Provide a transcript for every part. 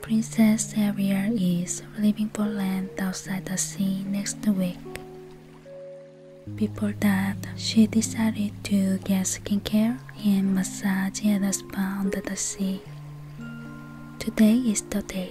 Princess area is leaving for land outside the sea next week. Before that, she decided to get skincare and massage at a spa under the sea. Today is the day.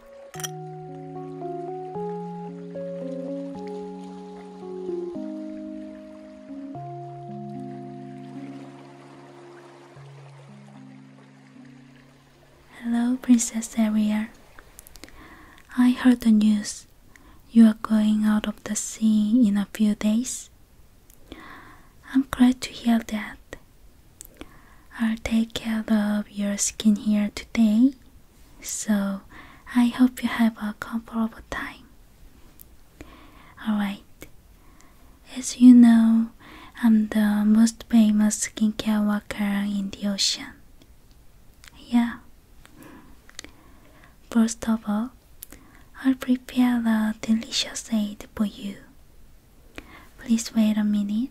Hello, Princess Ariel. I heard the news. You are going out of the sea in a few days. I'm glad to hear that. I'll take care of your skin here today so I hope you have a comfortable time. Alright, as you know, I'm the most famous skincare worker in the ocean. Yeah. First of all, I'll prepare a delicious aid for you. Please wait a minute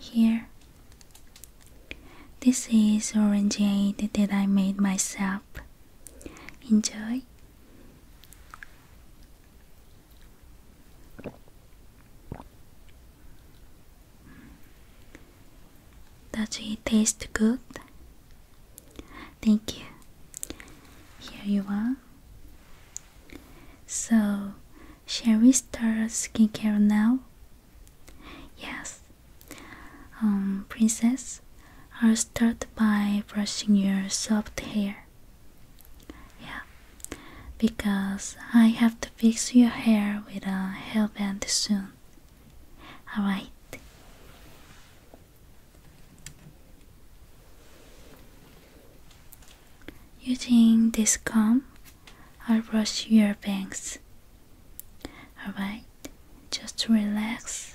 Here, this is orangeade that I made myself. Enjoy. Does it taste good? Thank you. Here you are. So, shall we start skincare now? Yes. Um, princess, I'll start by brushing your soft hair. Yeah because I have to fix your hair with a hairband soon. Alright. Using this comb, I'll brush your bangs. Alright, just relax.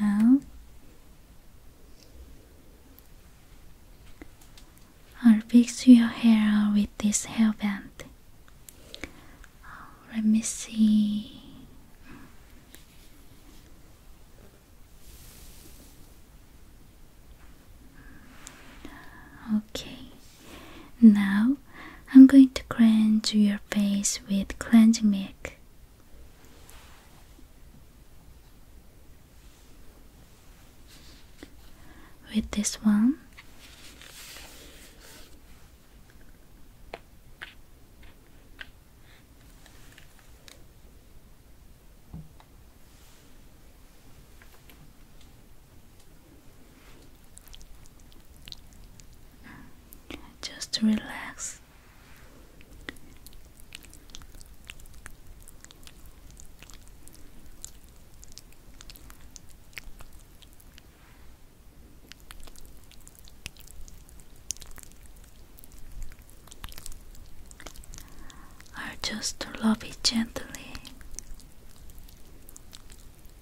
now, I'll fix your hair with this hairband. Let me see. Okay, now I'm going to cleanse your face with cleansing milk. With this one, just relax. Or just rub it gently.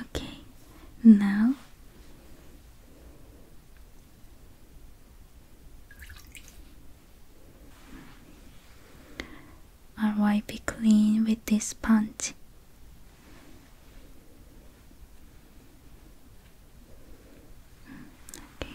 Okay, now I'll wipe clean with this sponge. Okay.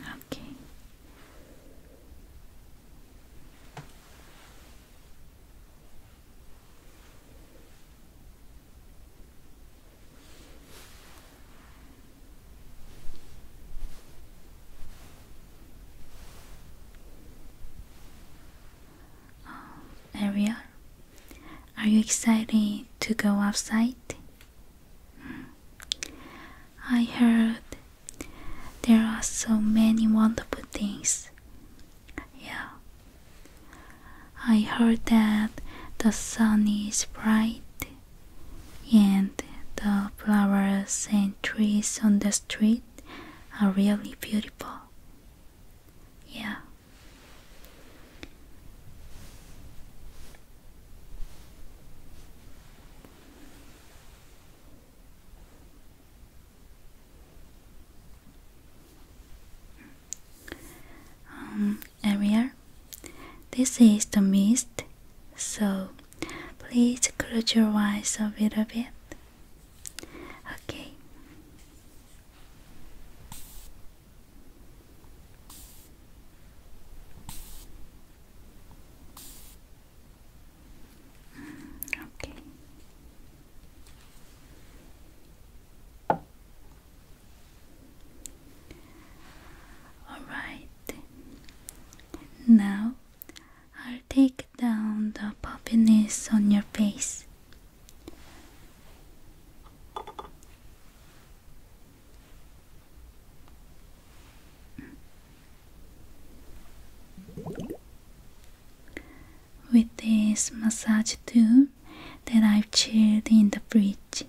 Okay. Um, are you excited to go outside? I heard there are so many wonderful things. Yeah. I heard that the sun is bright and the flowers and trees on the street are really beautiful. Yeah. Um, area. This is the mist, so please close your eyes a little bit. Okay. Okay. All right. Now I'll take down the puffiness on your face. With this massage tube that I've chilled in the fridge.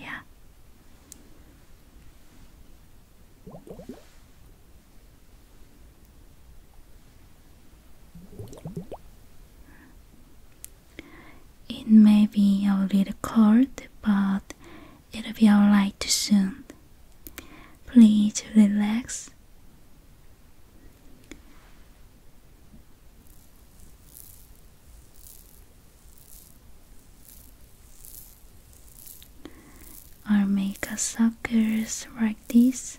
Yeah. It may be a little cold, but it'll be alright soon. Please relax. I'll make a circles like this.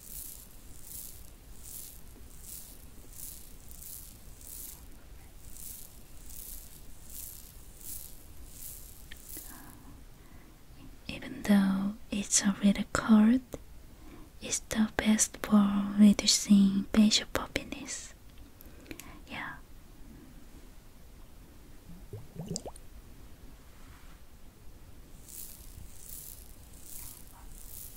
Even though it's already cold, it's the best for reducing facial puffiness. Yeah.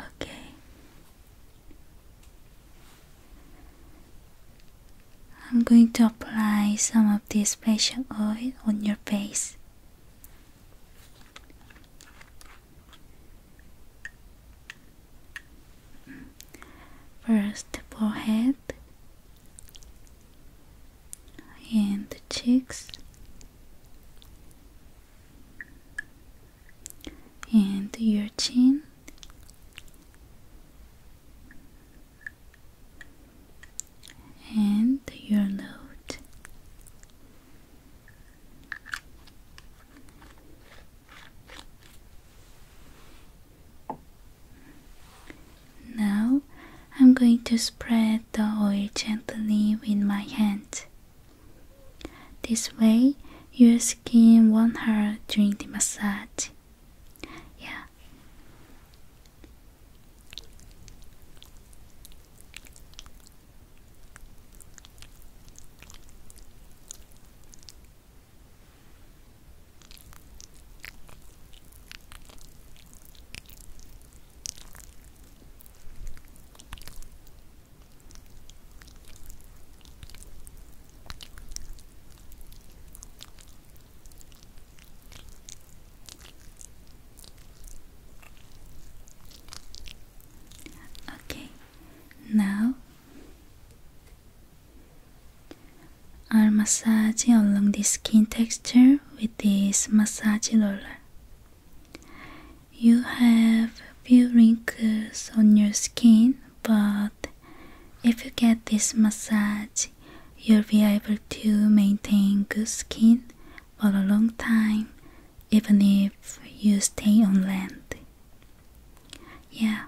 Okay. I'm going to apply some of this facial oil on your face. First, forehead and the cheeks and your chin and your nose now I'm going to spread the oil gently with my hands. This way, your skin won't hurt during the massage. Yeah. Okay, now I'm massaging along the skin texture with this massage roller. You have few wrinkles on your skin, but if you get this massage, you'll be able to maintain good skin for a long time, even if you stay on land. Yeah,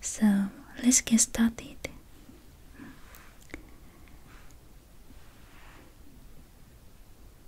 so let's get started.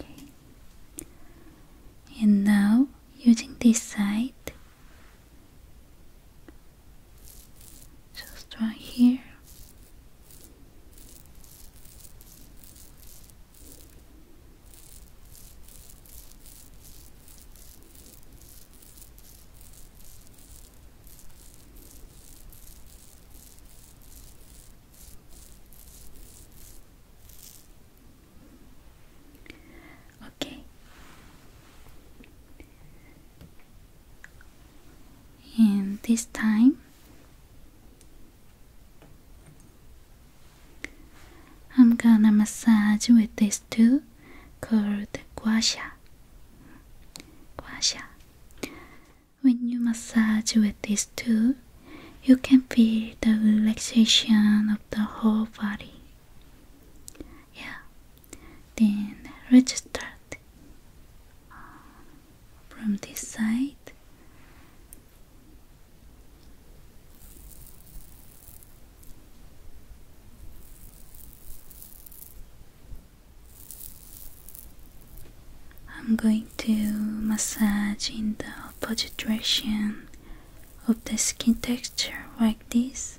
Okay. And now, using this side, just right here. Okay and this time I'm gonna massage with these two called guasha. Guasha. When you massage with these two, you can feel the relaxation of the whole body. Yeah, then register uh, from this side I'm going to massage in the opposite direction of the skin texture like this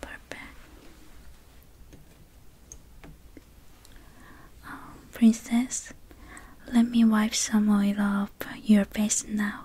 Perfect. Um, princess, let me wipe some oil off your face now.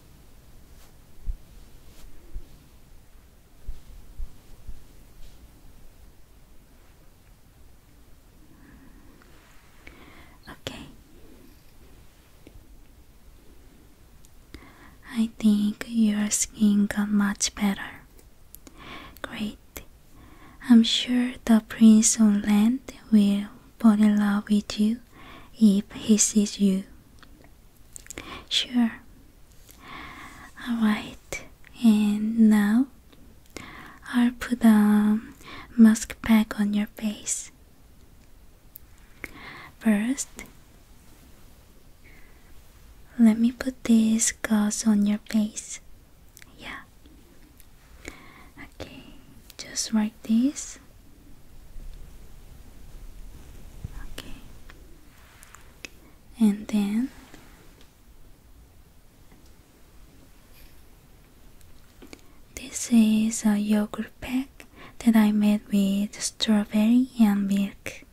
Okay. I think your skin got much better. Great. I'm sure the Prince on Land will fall in love with you if he sees you. Sure. Alright, and now I'll put a mask back on your face. First, let me put this gauze on your face. Yeah. Okay, just like this. And then this is a yogurt pack that I made with strawberry and milk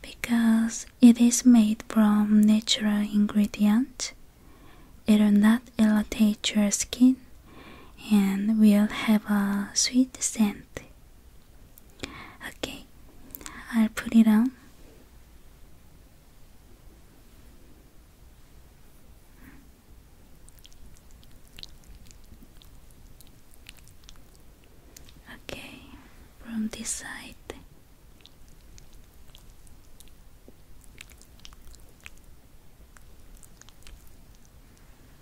because it is made from natural ingredients. It will not irritate your skin and we will have a sweet scent. Okay, i put it on. Okay, from this side.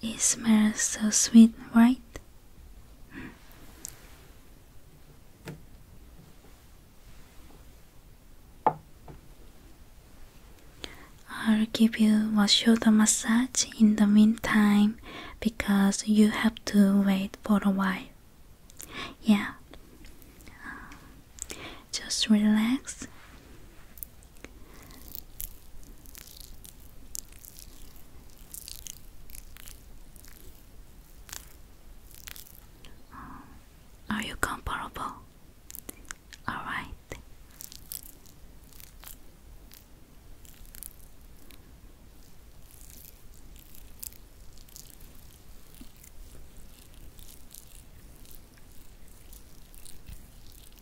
It smells so sweet, right? I'll give you a shoulder massage in the meantime because you have to wait for a while. Yeah. Just relax. Um, are you comparable? All right.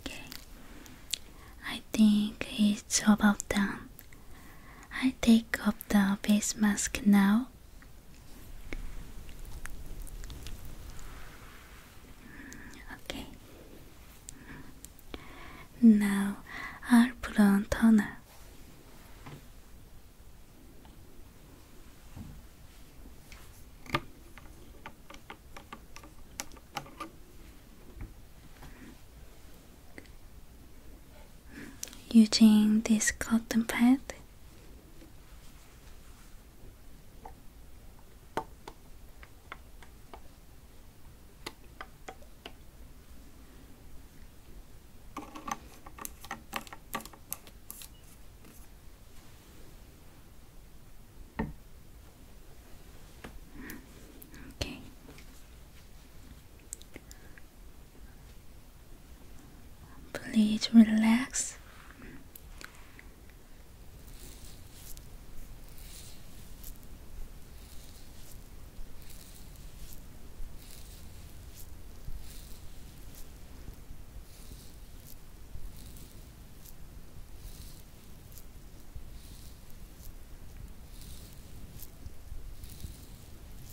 Okay, I think it's about done. I take off the face mask now. Okay. Now I'll put on toner using this cotton pad Okay. Please relax.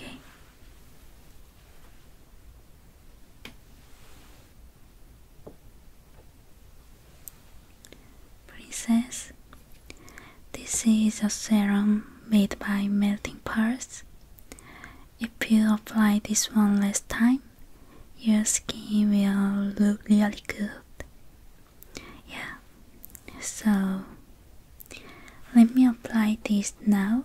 Okay. Princess, this is a serum made by melting parts. If you apply this one last time, your skin will look really good. Yeah, so let me apply this now.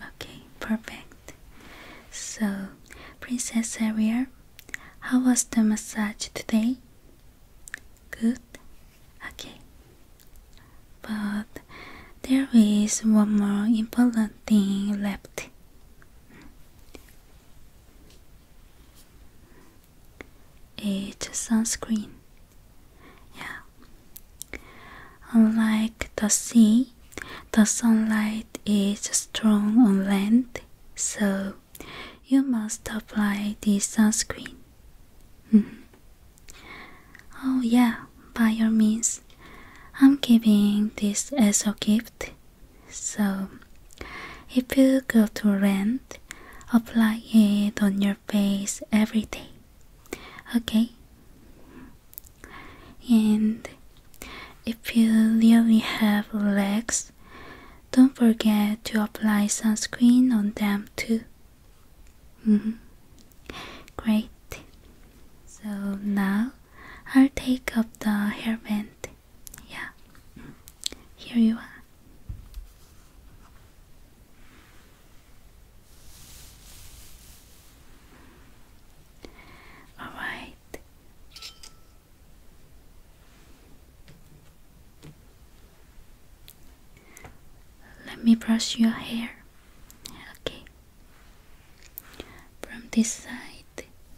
Okay, perfect. So, Princess Ariel, how was the massage today? Good. Okay. But there is one more important thing left. It's sunscreen. Yeah. Unlike the sea, the sunlight is strong on land, so you must apply the sunscreen. Mm-hmm. oh, yeah, by your means. I'm giving this as a gift so, if you go to rent, apply it on your face every day. Okay? And if you really have legs, don't forget to apply sunscreen on them too. -hmm. Great. So now I'll take up the hairband. Yeah. Here you are. All right. Let me brush your hair. Okay. From this side.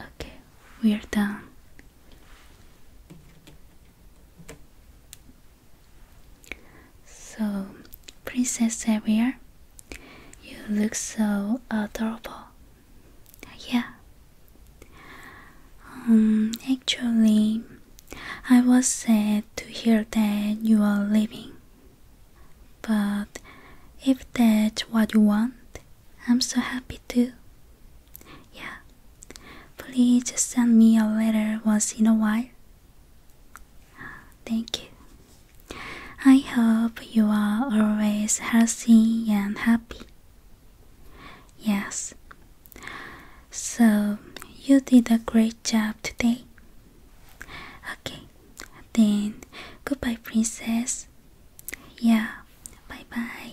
Okay, we're done. So, Princess Xavier, you look so adorable. Yeah. Um, actually, I was sad to hear that you are leaving. But if that's what you want, I'm so happy too. Yeah, Please just send me a letter once in a while. Thank you. I hope you are always healthy and happy. Yes. So, you did a great job today. Okay, then goodbye, princess. Yeah, bye bye.